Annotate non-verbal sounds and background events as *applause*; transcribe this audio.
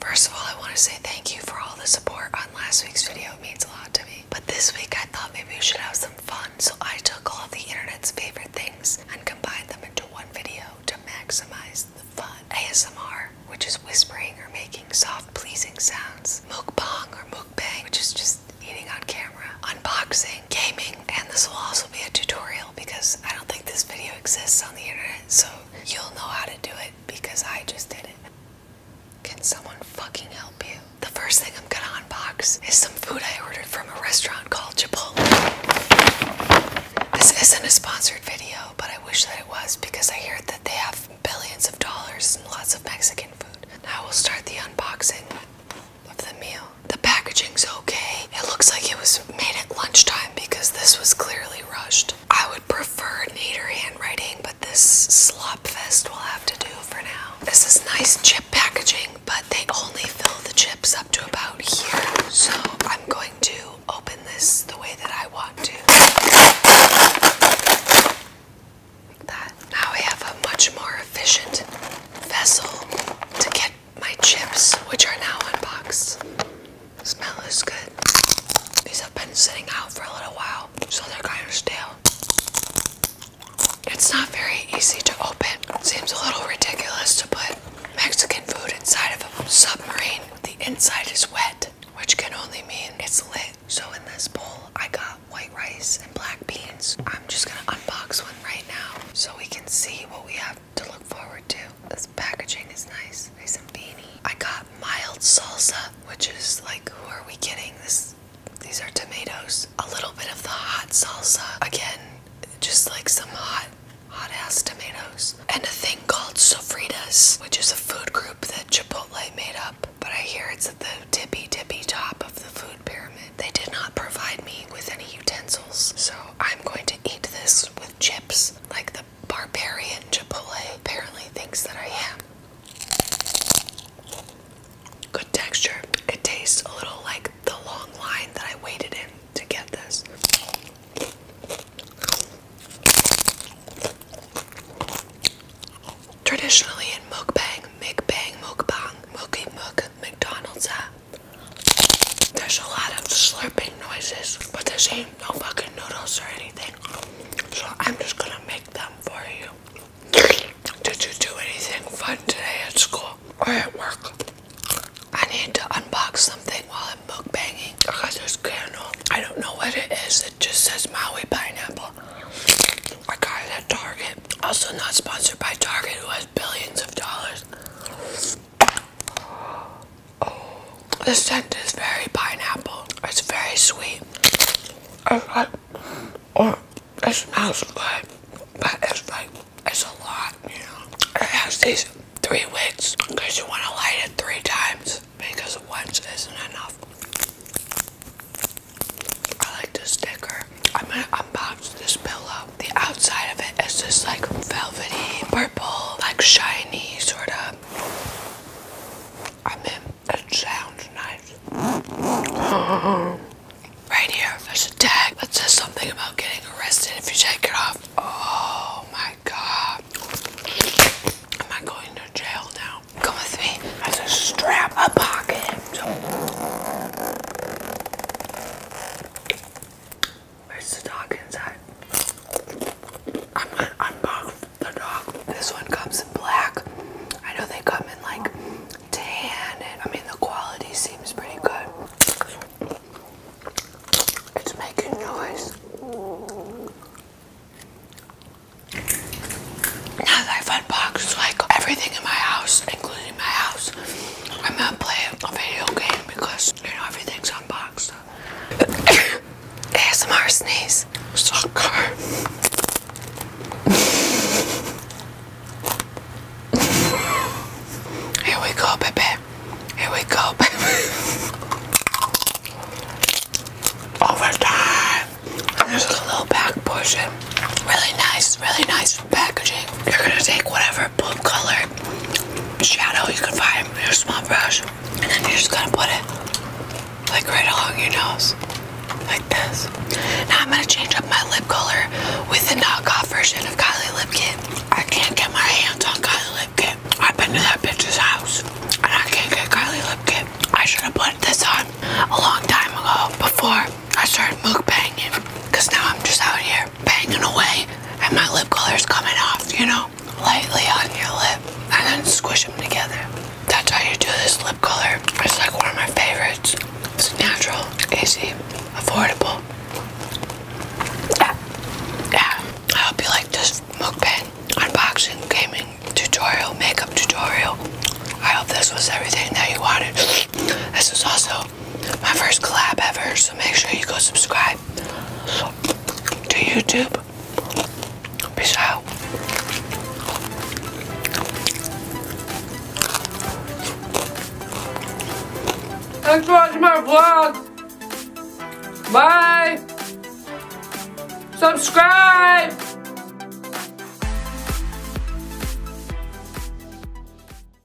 First of all, I want to say thank you for all the support on last week's video. It means a lot to me. But this week I thought maybe we should have some fun, so I took all of the internet's favorite things and combined them into one video to maximize the fun. ASMR, which is whispering or making soft, pleasing sounds. Mukbang or mukbang, which is just eating on camera. Unboxing gaming and this will also be a tutorial because I don't think this video exists on the internet so you'll know how to do it because I just did it. Can someone fucking help you? The first thing I'm gonna unbox is some food I ordered from a restaurant called Chipotle. This isn't a sponsored video but I wish that it was because I hear that they have billions of dollars and lots of Mexican food. Now we'll start the unboxing of the meal. The packaging's okay. It looks like it was made at lunchtime because this was clearly rushed. I would prefer neater handwriting, but this slop fest will have to do for now. This is nice chip packaging, but they only fill the chips up to about here. So I'm going to open this the way that I want to. Like that. Now we have a much more efficient vessel to get my chips, which are now unboxed. Smell as good. These have been sitting out for a little while, so they're kind of stale. It's not very easy to open. seems a little ridiculous to put Mexican food inside of a submarine. The inside is wet, which can only mean it's lit. So in this bowl, I got white rice and black beans. I'm just gonna unbox one right now so we can see what we have to look forward to. This packaging is nice, nice and beanie. I got mild salsa, which is like, who are we kidding? This, these are tomatoes. A little bit of the hot salsa, again, just like some hot, hot ass tomatoes. And a thing called sofritas, which is a food group that Chipotle made up. But I hear it's at the tippy tippy top of the food pyramid. They did not provide me with any utensils, so I'm going to eat this with chips, like the barbarian Chipotle apparently thinks that I am. Good texture. It tastes a little like the long line that I waited in to get this. Traditionally in mukbang, mukbang, mukbang, mookie mook, McDonald's, uh, there's a lot of slurping noises, but there's ain't no fucking noodles or anything. So I'm just gonna make them for you. Did you do anything fun today at school or at work? I need to unbox something while I'm mukbanging because there's candle. I don't know what it is. It just says Maui pineapple. I got it at Target. Also not sponsored by Target who has billions of dollars. The scent is very pineapple. It's very sweet. it smells good, but it's like, it's a lot, you know. It has these three wicks because you want to light it three times because once isn't enough. I like this sticker unboxed this pillow. The outside of it is just like velvety purple, like shiny sort of. I mean, it sounds nice. *gasps* Right that says something about getting arrested if you take it off. Oh my god. Am I going to jail now? Come with me. There's a strap, a pocket. Where's the dog inside? I'm gonna unbox the dog. This one comes in black. I know they come in like tan, and I mean, the quality seems pretty good. It's making noise. Now that I've unboxed like everything in my house, including my house, I'm not playing a video game because you know everything's unboxed. *coughs* ASMR sneeze. Sucker. *laughs* Here we go, baby. Here we go, baby. *laughs* Overtime. i little back pushing. Really nice, really nice this packaging. You're gonna take whatever blue color shadow you can find with your small brush, and then you're just gonna put it like right along your nose, like this. Now I'm gonna change up my lip color with the knockoff version of Kylie Lip Kit. I can't get my hands on Kylie Lip Kit. I've been to that bitch's house, and I can't get Kylie Lip Kit. I should have put this on a long time ago before I started mukbanging, cause now I'm just out here banging away and my lip color is coming off, you know? Lightly on your lip and then squish them together. That's how you do this lip color. It's like one of my favorites. It's natural, easy, affordable. Yeah. yeah. I hope you like this mukbang, unboxing, gaming tutorial, makeup tutorial. I hope this was everything that you wanted. This is also my first collab ever, so make sure you go subscribe to YouTube. Peace out. Thanks for watching my vlog. Bye. Subscribe.